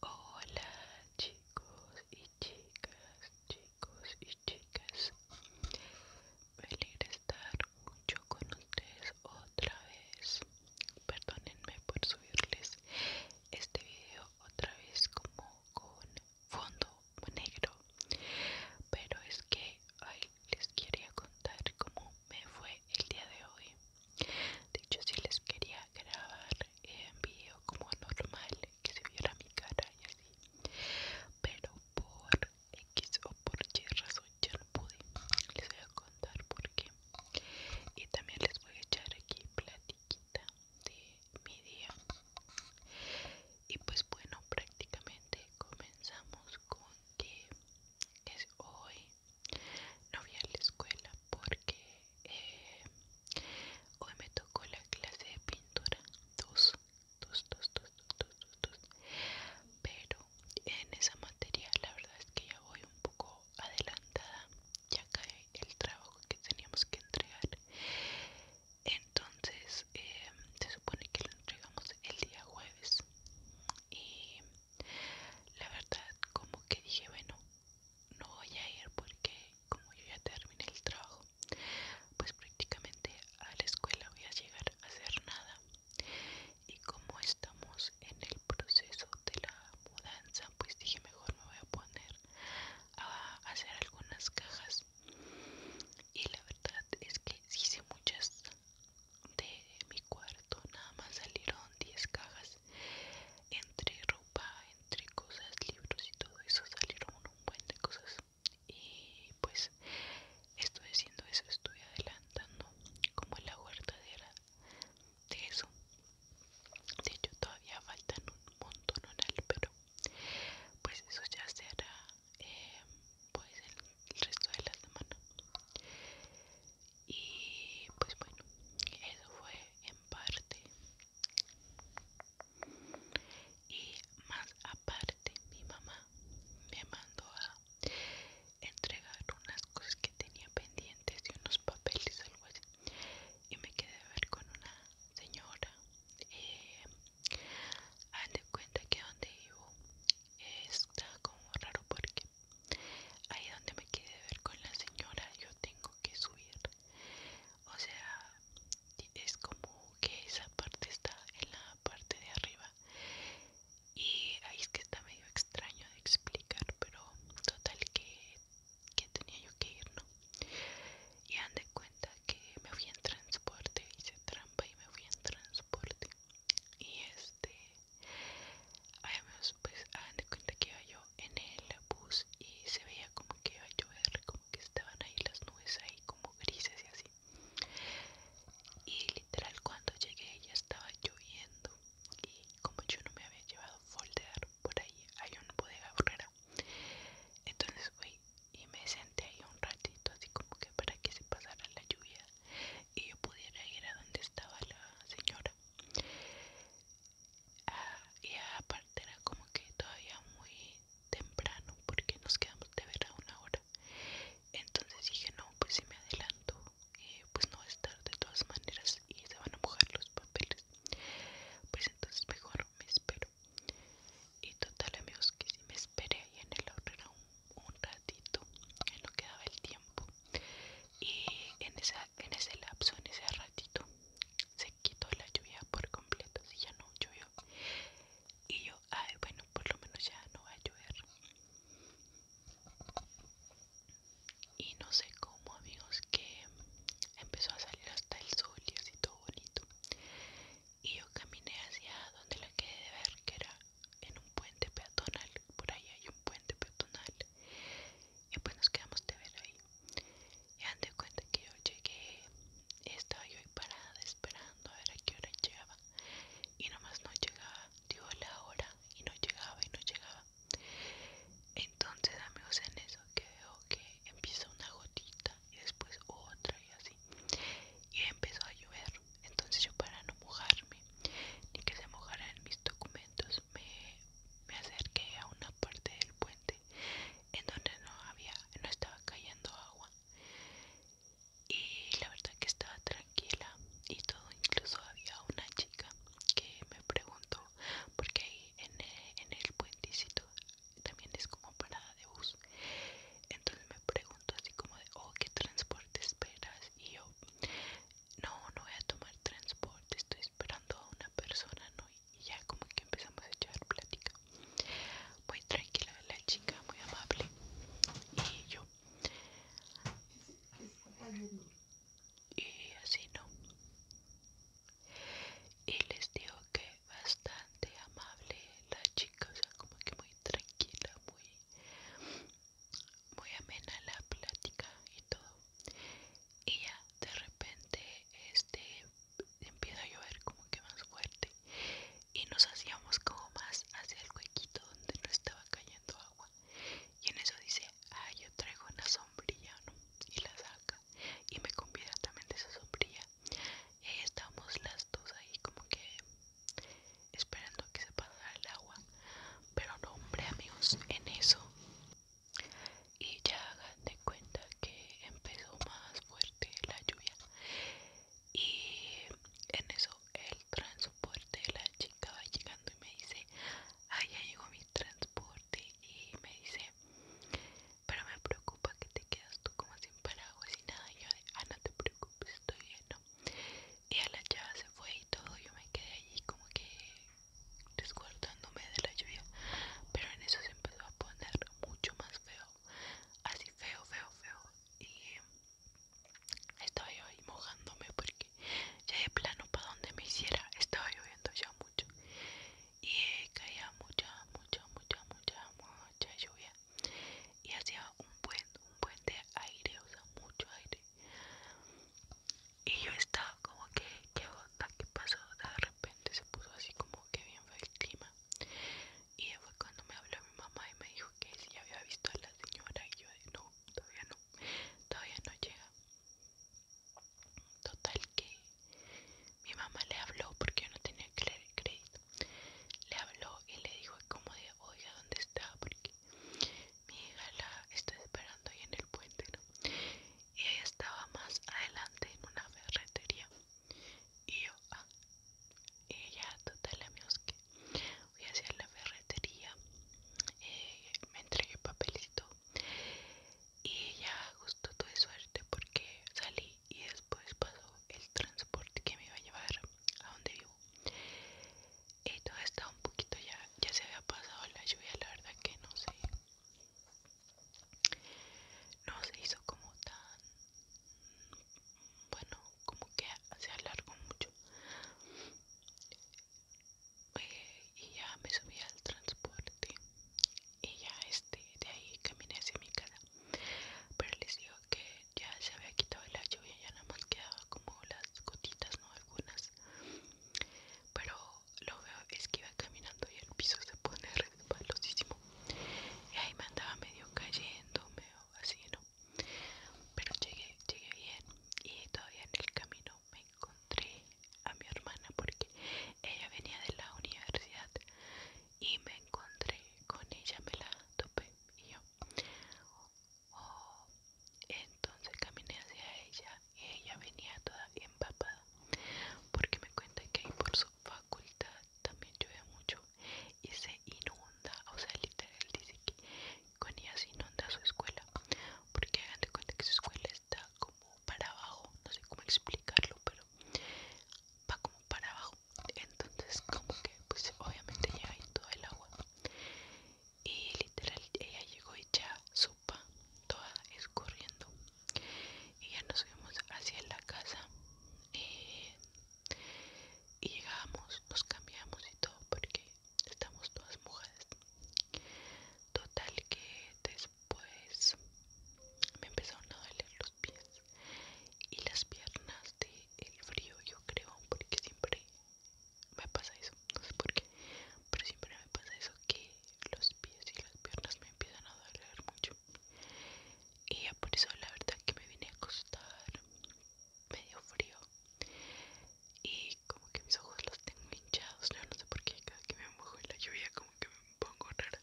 Hola chicos y chicas, chicos y chicas. Me alegra estar mucho con ustedes otra vez. Perdónenme por subirles este video otra vez como con fondo negro. Pero es que hoy les quería contar cómo me fue el día de hoy de hecho si les quería grabar en vídeo como normal que se viera mi cara y así pero por X o por Y razón ya no pude les voy a contar por qué y también les voy a echar aquí platiquita de mi día y pues bueno prácticamente comenzamos con que es hoy no voy a la escuela porque eh, hoy me tocó la clase de pintura dos pero en esa materia la verdad es que ya voy un poco adelantada ya cae el trabajo que teníamos que entregar entonces eh, se supone que lo entregamos el día jueves y la verdad, como que dije, bueno, no voy a ir porque como yo ya terminé el trabajo, pues prácticamente a la escuela voy a llegar a hacer nada. Y como estamos en el proceso de la mudanza, pues dije, mejor me voy a poner a hacer algunas cajas. Y la verdad es que hice muchas de mi cuarto nada más salieron 10 cajas entre ropa, entre cosas, libros y todo eso salieron un buen de cosas y pues estoy haciendo eso, estoy adelantando como la huertadera de eso de hecho todavía faltan un montón, pero pues eso ya se hará eh, pues el resto de la semana y pues bueno eso fue en parte y más aparte mi mamá me mandó a entregar unas cosas que tenía pendientes y unos papeles algo así y me quedé a ver con una señora eh, haz de cuenta que donde vivo está como raro porque ahí donde me quede ver con la señora yo tengo que subir o sea es como que esa parte está en la parte de arriba y ahí es que está medio extraño de explicar pero total que, tenía yo que ir no y han de cuenta que me fui en transporte hice trampa y me fui en transporte y este además pues hagan de cuenta que iba yo en el bus y se veía como que iba a llover como que estaban ahí las nubes ahí como grises y así y literal cuando llegué ya estaba lloviendo y como yo no me había llevado folder por ahí hay no bodega agarrar entonces voy y me senté ahí un ratito así como que para que se pasara la lluvia y yo pudiera ir a donde estaba la señora ah, y aparte era como que todavía muy temprano porque nos quedamos de ver a una hora entonces dije no pues si me adelanto eh, pues no va a estar de todas maneras y se van a mojar los papeles pues entonces mejor me espero y total amigos que si me esperé ahí en el aurora un, ratito que no quedaba el tiempo y en, esa, en ese lapso en ese ratito se quitó la lluvia por completo si ya no llovió y yo ay bueno por lo menos ya no va a llover y no sé cómo amigos que empezó a salir hasta el sol y así todo bonito y yo caminé hacia donde la quedé de ver que era en un puente peatonal por ahí hay un puente peatonal y pues nos quedamos de ver ahí y han de cuenta que yo llegué estaba yo ahí parada esperando a ver a qué hora llegaba y nomás no llegaba dio la hora y no llegaba y no llegaba entonces amigos en eso que veo que empieza una gotita y después otra y así y empezó a llover entonces yo para no mojarme ni que se mojaran mis documentos me, acerqué a una parte del puente en donde no había no estaba cayendo agua y la verdad que estaba tranquila y todo incluso había una chica que me preguntó porque ahí en el, en el puentecito también es como parada de bus entonces me pregunto así como de oh qué transporte esperas y yo no no voy a tomar transporte estoy esperando a una persona no y ya como que empezamos a echar plática muy tranquila la chica muy amable y yo y así no y les digo que bastante amable la chica, o sea, como que muy tranquila, muy, muy amena la plática y todo. Y ya de repente este empieza a llover como que más fuerte y nos hacíamos como más hacia el huequito donde no estaba cayendo agua. Y en eso dice, ah, yo traigo una sombrilla, ¿no? Y la saca y me convida también de esa sombrilla y las dos ahí como que esperando que se pasara el agua pero no hombre amigos en eso y ya hagan de cuenta que empezó más fuerte la lluvia y en eso el transporte de la chica va llegando y me dice ay ya llegó mi transporte y me dice pero me preocupa que te quedas tú como sin paraguas y nada. Y yo de, ah, no te preocupes, estoy lleno. Y a la chava se fue y todo, yo me quedé allí como que descuartándome de la lluvia. Pero en eso se empezó a poner mucho más feo, así feo, feo, feo. Y estaba yo ahí mojándome porque ya de plano para donde me hiciera estaba lloviendo ya mucho y caía mucha, mucha, mucha, mucha, mucha lluvia y hacía un buen, un buen de aire, o sea, mucho aire. Y yo estaba como que, ¿qué onda? ¿Qué pasó? De repente se puso así como que bien fue el clima. Y fue cuando me habló mi mamá y me dijo que si había visto a la señora. Y yo no, todavía no, todavía no llega. Total que mi mamá le habló porque yo no tenía crédito. Le habló y le dijo como de, oiga, ¿dónde está? Porque mi hija la está esperando ahí en el puente, Y ella estaba más adelante en una ferretería. Y yo, ah, ella ya, total amigos que voy hacia la ferretería, eh, me entregué papelito y ya justo tuve suerte porque salí y después pasó el transporte que me iba a llevar a donde vivo y todo estaba un poquito ya ya se había pasado la lluvia la verdad que no sé no se hizo como tan bueno como que se alargó mucho y ya me subí al transporte y ya este de ahí caminé hacia mi casa pero les digo que ya se había quitado la lluvia ya nada más quedaba como las gotitas no algunas pero lo veo es que iba caminando y el piso se pone resbalosísimo y ahí me andaba medio cayendo medio así no pero llegué llegué bien y todavía en el camino me encontré a mi hermana porque ella venía de la universidad y me encontré con ella, me la topé y yo. Oh", entonces caminé hacia ella y ella venía toda empapada porque me cuenta que por su facultad también llueve mucho y se inunda, o sea, literal dice que con ella se inunda su escuela, porque hagan cuenta que su escuela está como para abajo, no sé cómo explicarlo, pero va como para abajo. Entonces, como que, pues obviamente llega ahí todo el agua. Y literal, ella llegó hecha sopa, toda escurriendo. Y ya nos fuimos hacia la casa. Eh, y llegamos, nos cambiamos y todo porque estamos todas mojadas total que después me empezaron a doler los pies y las piernas de el frío yo creo porque siempre me pasa eso no sé por qué pero siempre me pasa eso que los pies y las piernas me empiezan a doler mucho y por eso la verdad que me vine a acostar medio frío y como que mis ojos los tengo hinchados, no sé por qué cada que me mojo en la lluvia como que me pongo rara,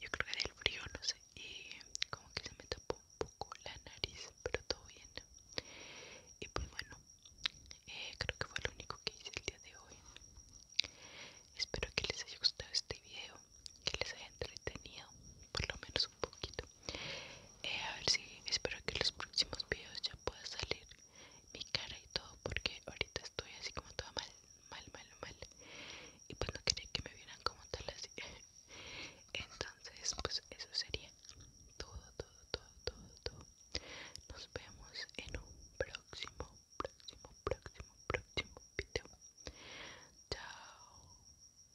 yo creo que el frío no sé y como que se me tapó un poco la nariz, pero todo bien y pues bueno, eh, creo que fue lo único que hice el día de hoy. Espero que les haya gustado este video, que les haya entretenido por lo menos un poquito. Eh, a ver si espero que en los próximos videos ya pueda salir mi cara y todo porque ahorita estoy así como toda mal mal mal mal y pues no quería que me vieran como tal así entonces pues eso sería todo todo todo todo todo nos vemos en un próximo próximo próximo próximo video chao